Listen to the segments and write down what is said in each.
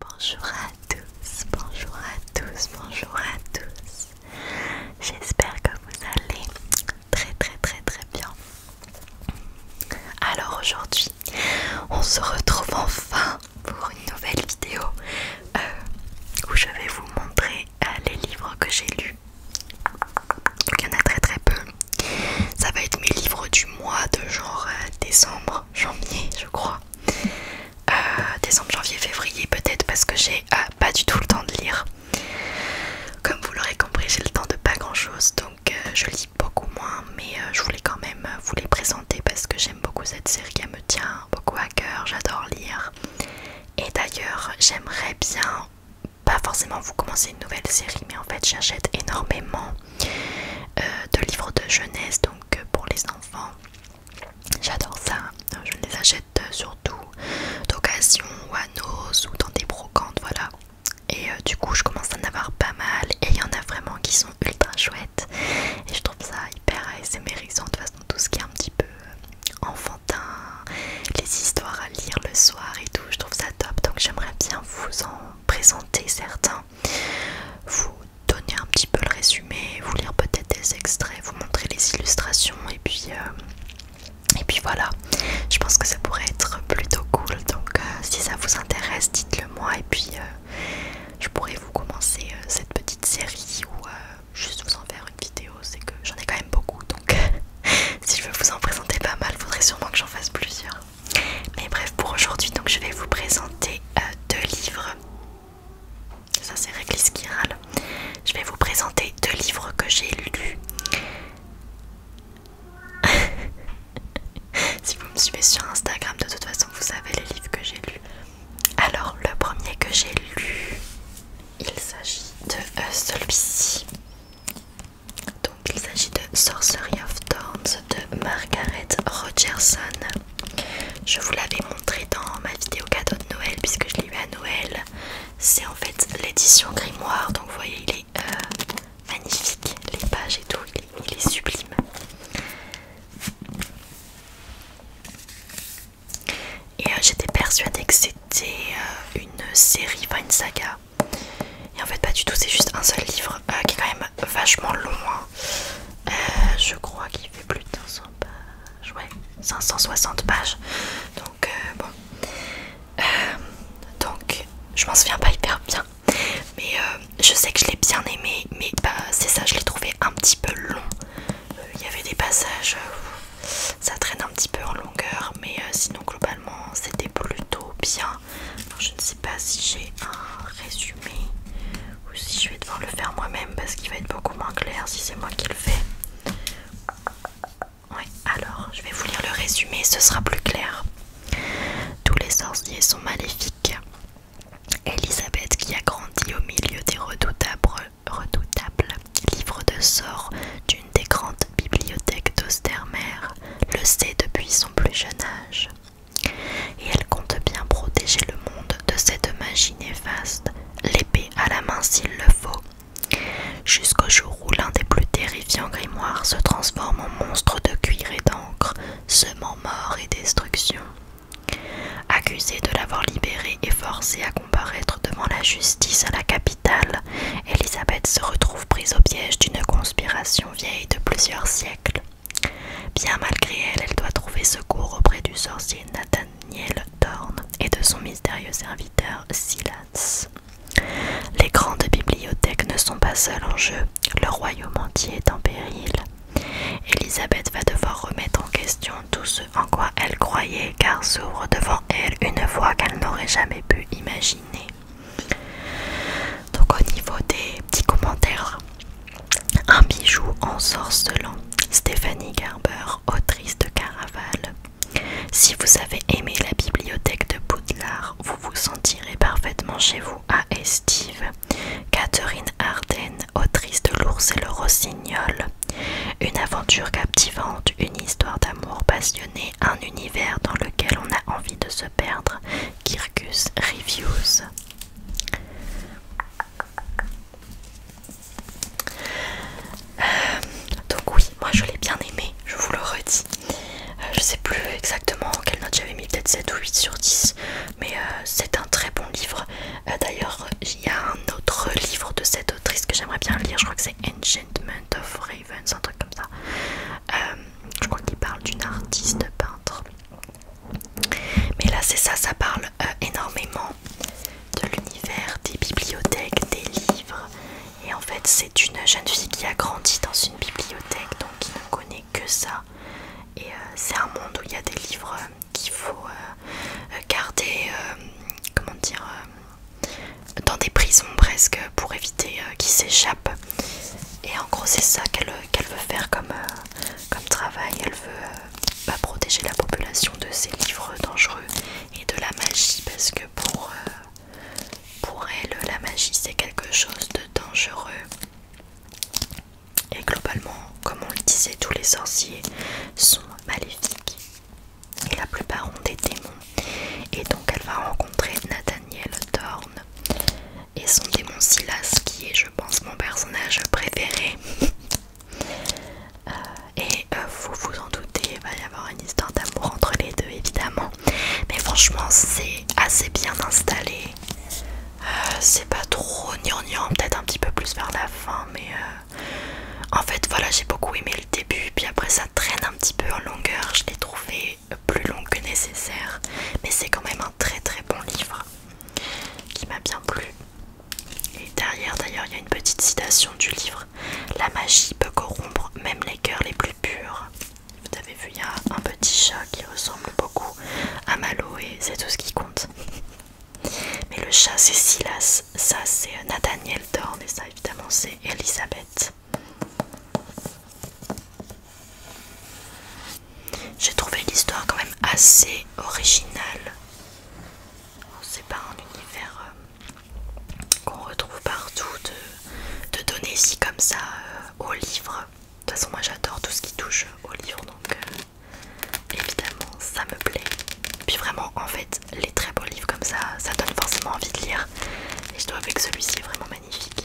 Bonjour à tous, bonjour à tous, bonjour à tous. J'espère que vous allez très très très très bien. Alors aujourd'hui, on se retrouve enfin pour une nouvelle vidéo euh, où je vais vous montrer euh, les livres que j'ai lus. Donc il y en a très très peu. Ça va être mes livres du mois de genre euh, décembre, janvier je crois. Euh, décembre, janvier, février peut-être parce que j'ai pas du tout le temps de lire. Comme vous l'aurez compris, j'ai le temps de pas grand chose donc je lis beaucoup moins, mais je voulais quand même vous les présenter parce que j'aime beaucoup cette série, elle me tient beaucoup à cœur, j'adore lire et d'ailleurs, j'aimerais bien, pas forcément vous commencer une nouvelle série, mais en fait j'achète énormément euh, de livres de jeunesse, donc euh, pour les enfants. J'adore ça, euh, je les achète surtout d'occasion ou à nos ou dans des brocantes, voilà. Et du coup, je commence à en avoir pas mal et il y en a vraiment qui sont ultra chouettes. Et je trouve ça hyper mérisant, de toute façon tout ce qui est un petit peu euh, enfantin, les histoires à lire le soir et tout, je trouve ça top. Donc j'aimerais bien vous en présenter certains, vous donner un petit peu le résumé, vous lire peut-être des extraits, vous montrer les illustrations et puis euh, et puis voilà. Je pense que ça pourrait être plutôt cool. Donc euh, si ça vous intéresse, dites-le moi et puis je pourrais vous commencer cette petite série ou juste vous en faire une vidéo, c'est que j'en ai quand même beaucoup donc si je veux vous en présenter pas mal, faudrait sûrement que j'en fasse plusieurs. Mais bref, pour aujourd'hui, donc je vais vous présenter euh, deux livres. Ça c'est réglisse qui râle. Je vais vous présenter deux livres que j'ai lu si vous me suivez sur Instagram, de toute façon, vous savez les livres que j'ai lus. Alors, le premier que j'ai lu, il s'agit de euh, celui-ci. Donc, il s'agit de Sorcery of Thorns de Margaret Rogerson. Je vous l'avais montré dans ma vidéo cadeau de Noël, puisque je l'ai eu à Noël. C'est en fait l'édition grimoire, donc vous voyez, il est euh, magnifique, les pages et tout, il est sublime. Et euh, j'étais persuadée que c'était euh, une série, pas une saga. Et en fait, pas du tout, c'est juste un seul livre euh, qui est quand même vachement long. Hein. je crois qu'il fait plus de 500 pages. Ouais, 560 pages. Donc, bon. donc, je m'en souviens pas hyper bien. Mais je sais que je l'ai bien aimé, mais bah, c'est ça, je l'ai trouvé un petit peu long. Il y avait des passages ça traîne un petit peu en longueur mais euh, sinon globalement c'était plutôt bien je ne sais pas si j'ai un résumé ou si je vais devoir le faire moi-même parce qu'il va être beaucoup moins clair si c'est moi qui le fais ouais alors je vais vous lire le résumé ce sera plus clair tous les sorciers sont maléfiques Elisabeth qui a grandi au milieu des redoutables redoutable livre de sort d'une des grandes bibliothèques d'Ostermer, le sait depuis son plus jeune âge. Et elle compte bien protéger le monde de cette magie néfaste, l'épée à la main s'il le faut, jusqu'au jour où l'un des plus terrifiants grimoires se transforme en monstre de cuir et d'encre, semant mort et destruction. Accusée de l'avoir libérée et forcée à comparaître devant la justice à la capitale, Elisabeth se retrouve prise au piège d'une conspiration vieille de plusieurs siècles. Bien malgré elle, elle doit trouver secours auprès du sorcier Nathaniel Thorne et de son mystérieux serviteur Silas. Les grandes bibliothèques ne sont pas seules en jeu, le royaume entier est en péril. Elisabeth va devoir remettre en question tout ce en quoi elle croyait car s'ouvre devant elle une voie qu'elle n'aurait jamais pu imaginer. Donc au niveau des petits commentaires, un bijou en ensorcelant, Stéphanie Garber, autrice de Caraval. Si vous avez aimé la bibliothèque de Poudlard, vous vous sentirez parfaitement chez vous à Estive. Catherine Ardenne autrice de L'ours et le rossignol. Une aventure captivante, une histoire d'amour passionnée, un univers dans lequel on a envie de se perdre. Kirkus Reviews. Euh, donc oui, moi je l'ai bien aimé, je vous le redis. Euh, je sais plus exactement quelle note j'avais mis, peut-être 7 ou 8 sur 10, mais euh, c'est un très bon livre. D'ailleurs, il y a un autre livre de cette triste que j'aimerais bien lire, je crois que c'est Enchantment of Ravens, un truc comme ça. Euh, je crois qu'il parle d'une artiste peintre. Mais là c'est ça, ça parle euh, énormément de l'univers des bibliothèques, des livres. Et en fait c'est une jeune fille qui a grandi dans une bibliothèque, donc qui ne connaît que ça. Et euh, c'est un monde où il y a des livres qu'il faut euh, garder, euh, comment dire, euh, dans des prisons presque pour éviter qu'ils s'échappent. Et en gros, c'est ça qu'elle veut faire comme, travail. Elle veut bah, protéger la population de ces livres dangereux et de la magie parce que pour, pour elle, la magie c'est quelque chose de dangereux. Et globalement, comme on le disait, tous les sorciers sont maléfiques et la plupart ont des démons. Et donc elle va rencontrer Nathaniel Thorne et son démon Silas qui est je pense mon personnage préféré. Euh, et euh, vous vous en doutez, il va y avoir une histoire d'amour entre les deux évidemment. Mais franchement c'est assez bien installé. Euh, c'est pas trop gnangnan, peut-être un petit peu plus vers la fin mais en fait voilà j'ai beaucoup aimé le début puis après ça traîne un petit peu en longueur je l'ai trouvé plus long que nécessaire mais c'est quand même un très très bon livre qui m'a bien plu et derrière d'ailleurs il y a une petite citation du livre la magie peut corrompre même les cœurs les plus purs vous avez vu il y a un petit chat qui ressemble beaucoup à Malo et c'est tout ce qui compte mais le chat c'est Silas, ça c'est Nathaniel Dorn et ça évidemment c'est Elisabeth. J'ai trouvé l'histoire quand même assez originale. C'est pas un univers euh, qu'on retrouve partout de, donner ici comme ça euh, au livre. De toute façon moi j'adore tout ce qui touche au livre donc euh, évidemment ça me plaît. Puis vraiment en fait les très beaux livres comme ça, ça donne forcément envie de lire. Et je dois avouer que celui-ci est vraiment magnifique.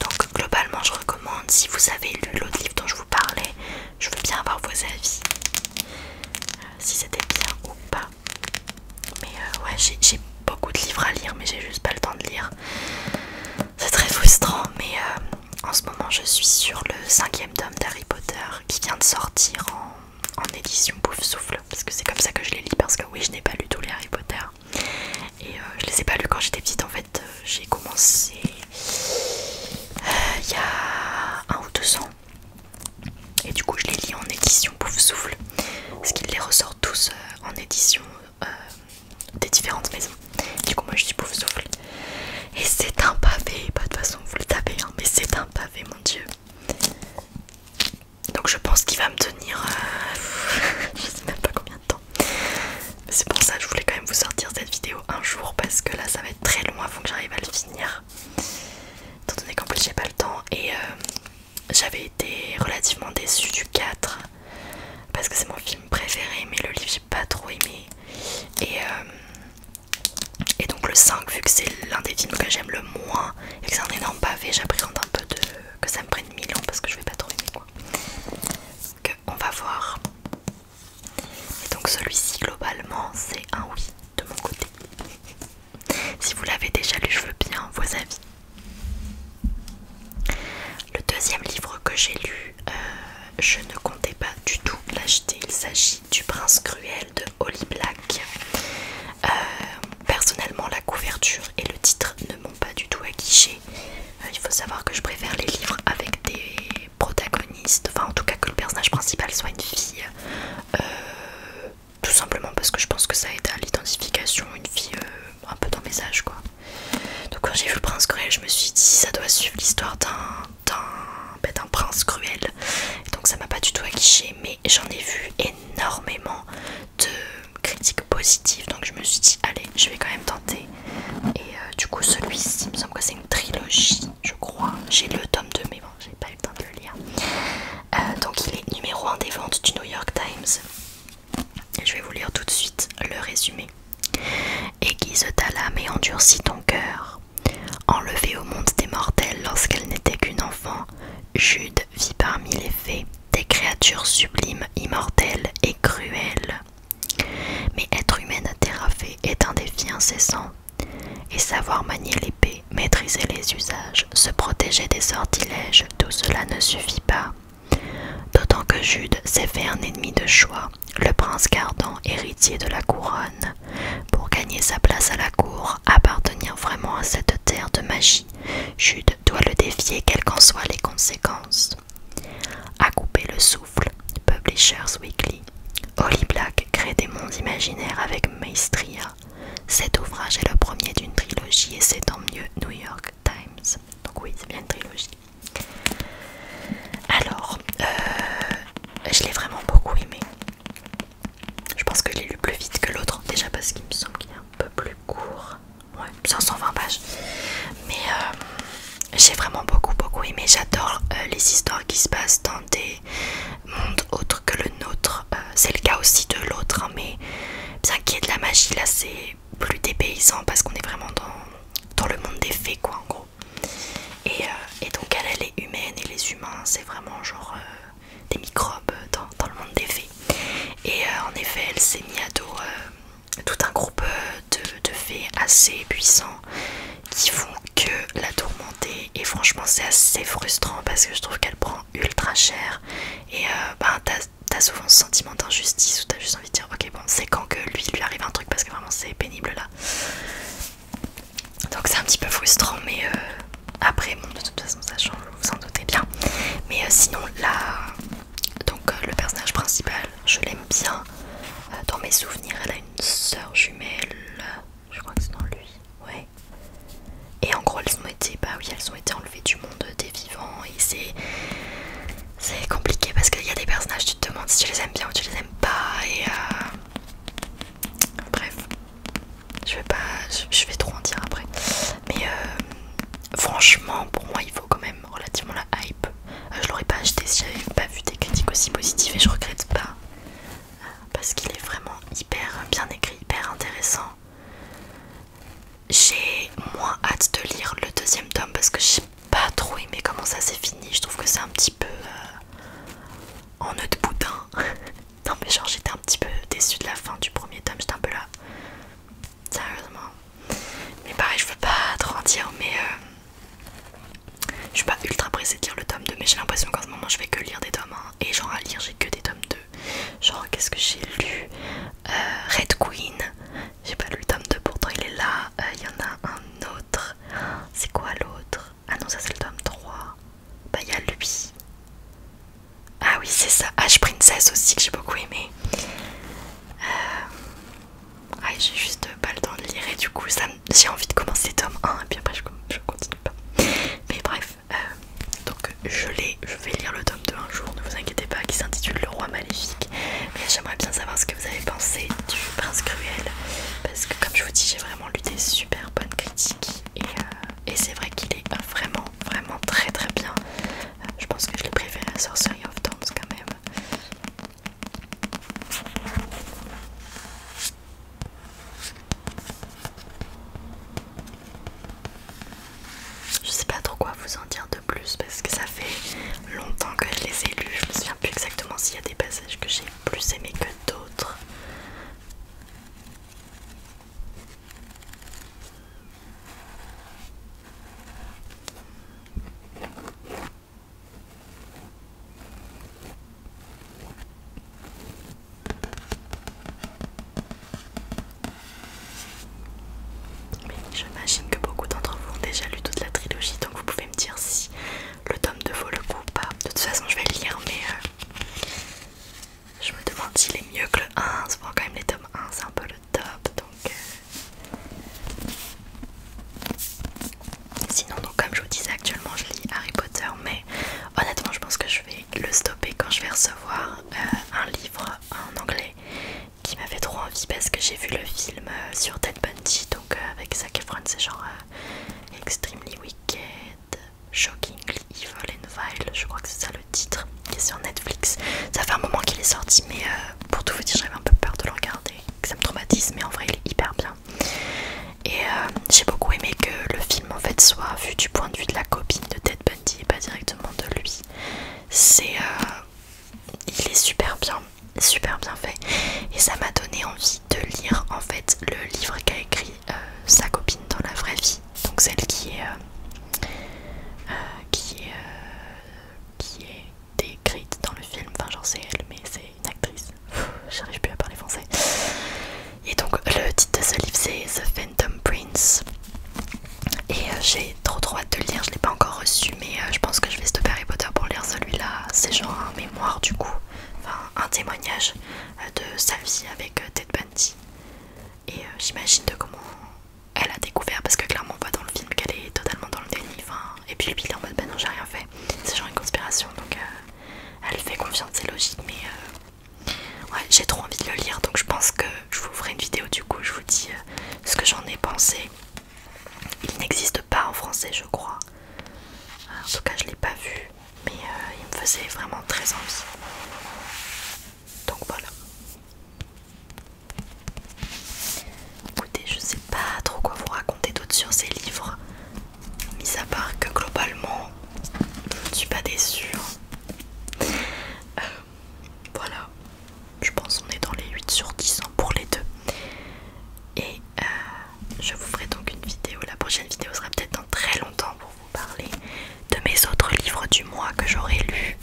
Donc globalement je recommande, si vous avez lu l'autre livre dont je vous parlais, je veux bien avoir vos avis. Euh, si c'était bien ou pas. Mais euh, ouais j'ai beaucoup de livres à lire mais j'ai juste pas le temps de lire. C'est très frustrant, mais euh, en ce moment je suis sur le cinquième tome d'Harry Potter qui vient de sortir en, édition Pouf Souffle, parce que c'est comme ça que je les lis, parce que oui, je n'ai pas lu tous les Harry Potter. Et euh, je les ai pas lus quand j'étais petite, en fait, euh, j'ai commencé il y a un ou deux ans. Et du coup, je les lis en édition Pouf Souffle, parce qu'ils les ressortent tous en édition euh, des différentes maisons. Du coup, moi je dis bouffe souffle. Et c'est un pavé, Pas de façon façon vous le tapez hein, mais c'est un pavé, mon dieu. Donc je pense qu'il va me tenir, euh, je sais même pas combien de temps. C'est pour ça que je voulais quand même vous sortir cette vidéo un jour parce que là ça va être très long avant que j'arrive à le finir. Étant donné qu'en plus j'ai pas le temps et euh, j'avais été relativement déçue du 4 parce que c'est mon film préféré mais le livre j'ai pas trop aimé et, euh, donc le 5 vu que c'est l'un des films que j'aime le moins et que c'est un énorme pavé j'appréhende un peu de que ça me prenne 1000 ans parce que je vais pas trop aimer quoi on va voir donc celui-ci globalement c'est un oui de mon côté si vous l'avez déjà lu je veux bien vos avis le deuxième livre que j'ai lu, euh, je ne comptais pas du tout l'acheter. Il s'agit du Prince Cruel de Holly Black. Euh, personnellement, la couverture et le titre ne m'ont pas du tout aguiché. Euh, il faut savoir que je préfère les livres avec des protagonistes, enfin en tout cas que le personnage principal soit une fille. tout simplement parce que je pense que ça aide à l'identification, une fille un peu dans mes âges quoi. Donc quand j'ai vu le prince cruel, je me suis dit ça doit suivre l'histoire d'un ben, prince cruel. Donc ça m'a pas du tout aguiché, mais j'en ai vu énormément de critiques positives. Donc je me suis dit allez, je vais quand même tenter. Et euh, du coup celui-ci, me semble que c'est une trilogie, je crois. J'ai le tome 2, mais bon, j'ai pas eu le temps de le lire. Euh, donc il est numéro 1 des ventes du New York Times. Je vais vous lire tout de suite le résumé. Aiguise ta lame et endurcis ton cœur. Enlevée au monde des mortels lorsqu'elle n'était qu'une enfant, Jude vit parmi les fées des créatures sublimes, immortelles et cruelles. Mais être humaine à TerraFée est un défi incessant. Et savoir manier l'épée, maîtriser les usages, se protéger des sortilèges, tout cela ne suffit pas. D'autant que Jude s'est fait un ennemi de choix, le prince gardant, héritier de la couronne, pour gagner sa place à la cour, appartenir vraiment à cette terre de magie. Jude doit le défier quelles qu'en soient les conséquences. À couper le souffle, Publishers Weekly. Holly Black crée des mondes imaginaires avec Maestria. Cet ouvrage est le premier d'une trilogie et c'est tant mieux New York Times. Donc oui, c'est bien une trilogie. Alors, euh, je l'ai vraiment beaucoup aimé. Je pense que je l'ai lu plus vite que l'autre, déjà parce qu'il me semble qu'il est un peu plus court. Ouais, 520 pages. Mais euh, j'ai vraiment beaucoup, beaucoup aimé. J'adore euh, les histoires qui se passent dans des mondes autres que le nôtre. c'est le cas aussi de l'autre, hein, mais bien qu'il y de la magie, là c'est plus dépaysant parce qu'on est vraiment dans, le monde des fées quoi en gros. Euh, et, donc elle, elle est humaine et les humains c'est vraiment genre euh, des microbes dans, le monde des fées. Et euh, en effet elle s'est mis à dos tout un groupe de, fées assez puissants qui font que la tourmenter et franchement c'est assez frustrant parce que je trouve qu'elle prend ultra cher et ben t'as souvent ce sentiment d'injustice où t'as juste envie de dire ok bon c'est quand que lui lui arrive un truc parce que vraiment c'est pénible là donc c'est un petit peu frustrant mais euh, après bon de toute façon ça change vous en doutez bien mais euh, sinon là donc euh, le personnage principal je l'aime bien dans mes souvenirs elle a une soeur jumelle je crois que c'est dans lui ouais et en gros elles sont été bah oui elles ont été enlevées du monde des vivants et c'est c'est compliqué parce qu'il y a des personnages, tu te demandes si tu les aimes bien ou tu les aimes pas et euh, bref, je vais pas, je vais trop en dire après. Mais euh, franchement, pour moi, il faut quand même relativement la hype. Euh, je l'aurais pas acheté si j'avais pas vu des critiques aussi positives et je regrette pas parce qu'il est vraiment hyper bien écrit, hyper intéressant j'ai moins hâte de lire le deuxième tome parce que j'ai pas trop aimé comment ça s'est fini. Je trouve que c'est un petit peu euh, en nœud de boudin. non, mais genre, j'étais un petit peu déçue de la fin du premier tome. J'étais un peu là. Sérieusement. Mais pareil, je veux pas trop en dire, mais euh, je suis pas ultra pressée de lire le tome 2. Mais j'ai l'impression qu'en ce moment, je vais que lire des tomes 1. Et genre, à lire, j'ai que des tomes 2. Genre, qu'est-ce que j'ai lu euh, Red Queen. J'ai pas lu le tome 2, pourtant il est là. Euh, il y en a un autre. C'est quoi l'autre Ah non, ça c'est le tome 3. Bah, il y a lui. Ah oui, c'est ça. H Princess aussi que j'ai beaucoup aimé. Euh, ah, j'ai juste pas le temps de lire et du coup, j'ai envie de commencer tome 1 et puis après, je, continue pas. Mais bref, euh, donc je l'ai. Je vais lire le tome 2 un jour, ne vous inquiétez pas, qui s'intitule Le Roi Maléfique. Mais j'aimerais bien savoir ce que vous avez pensé du Prince Cruel. Parce que, comme je vous dis, j'ai vraiment lu des super bonnes critiques. Et, euh, c'est vrai qu'il est vraiment, vraiment très très bien. Euh, je pense que je l'ai préféré à Sorcery of Thorns quand même. Je sais pas trop quoi vous en dire de plus parce que ça fait longtemps que je les ai lus. Je me souviens plus exactement s'il y a des passages que j'ai plus aimés que d'autres. Mais j'imagine que beaucoup d'entre vous ont déjà lu toute la trilogie, donc vous pouvez me dire si le tome 2 vaut le coup ou pas. De toute façon, je vais le lire, mais euh, je me demande s'il est mieux que le 1. Souvent, quand même, les tomes 1, c'est un peu le top, donc. Euh. Sinon, donc, comme je vous disais, actuellement je lis Harry Potter, mais honnêtement, je pense que je vais le stopper quand je vais recevoir euh, un livre en anglais qui m'avait trop envie parce que j'ai vu le film euh, sur Ted Bundy, donc euh, avec Zac Efron, c'est genre euh, Extremely Wicked, Shockingly Evil and Vile, je crois que c'est ça le titre, qui est sur Netflix. Ça fait un moment qu'il est sorti, mais pour tout vous dire, j'avais un peu peur de le regarder, que ça me traumatise, mais en vrai, il est hyper bien. Et j'ai beaucoup aimé que le film en fait soit vu du point de vue de la copine de Ted Bundy et pas directement de lui. C'est il est super bien, super bien fait. Et ça m'a donné envie de lire en fait le livre qu'a écrit euh, sa copine dans la vraie vie. Donc celle qui est, euh, euh, qui, est qui est décrite dans le film. Enfin j'en sais elle, mais c'est une actrice. J'arrive plus à parler français. Et donc le titre de ce livre c'est The Phantom Prince. Et j'ai trop trop hâte de le lire, je l'ai pas encore reçu, mais euh, je pense que je vais stopper Harry Potter pour lire celui-là. C'est genre un mémoire du coup, enfin un témoignage euh, de sa vie avec euh, Ted Bundy. Et j'imagine de comment elle a découvert, parce que clairement on voit dans le film qu'elle est totalement dans le déni. et puis lui il est en mode bah ben non j'ai rien fait, c'est genre une conspiration, donc elle fait confiance, c'est logique, mais... Ouais, j'ai trop envie de le lire donc je pense que je vous ferai une vidéo du coup. Je vous dis ce que j'en ai pensé il n'existe pas en français, je crois. En tout cas, je ne l'ai pas vu, mais euh, il me faisait vraiment très envie. Donc voilà. Écoutez, je sais pas trop quoi vous raconter d'autre sur ces livres, mis à part que globalement, je ne suis pas déçue. Hein. Euh, voilà je pense on est dans les 8 sur 10 ans hein, pour les deux. Et euh, je vous ferai donc une vidéo. La prochaine vidéo sera peut-être dans très longtemps pour vous parler de mes autres livres du mois que j'aurais lus.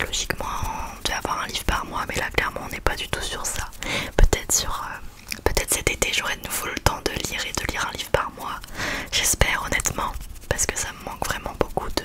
Logiquement, on devait avoir un livre par mois, mais là clairement on n'est pas du tout sur ça. Peut-être sur, euh, peut-être cet été j'aurai de nouveau le temps de lire et de lire un livre par mois. J'espère honnêtement, parce que ça me manque vraiment beaucoup de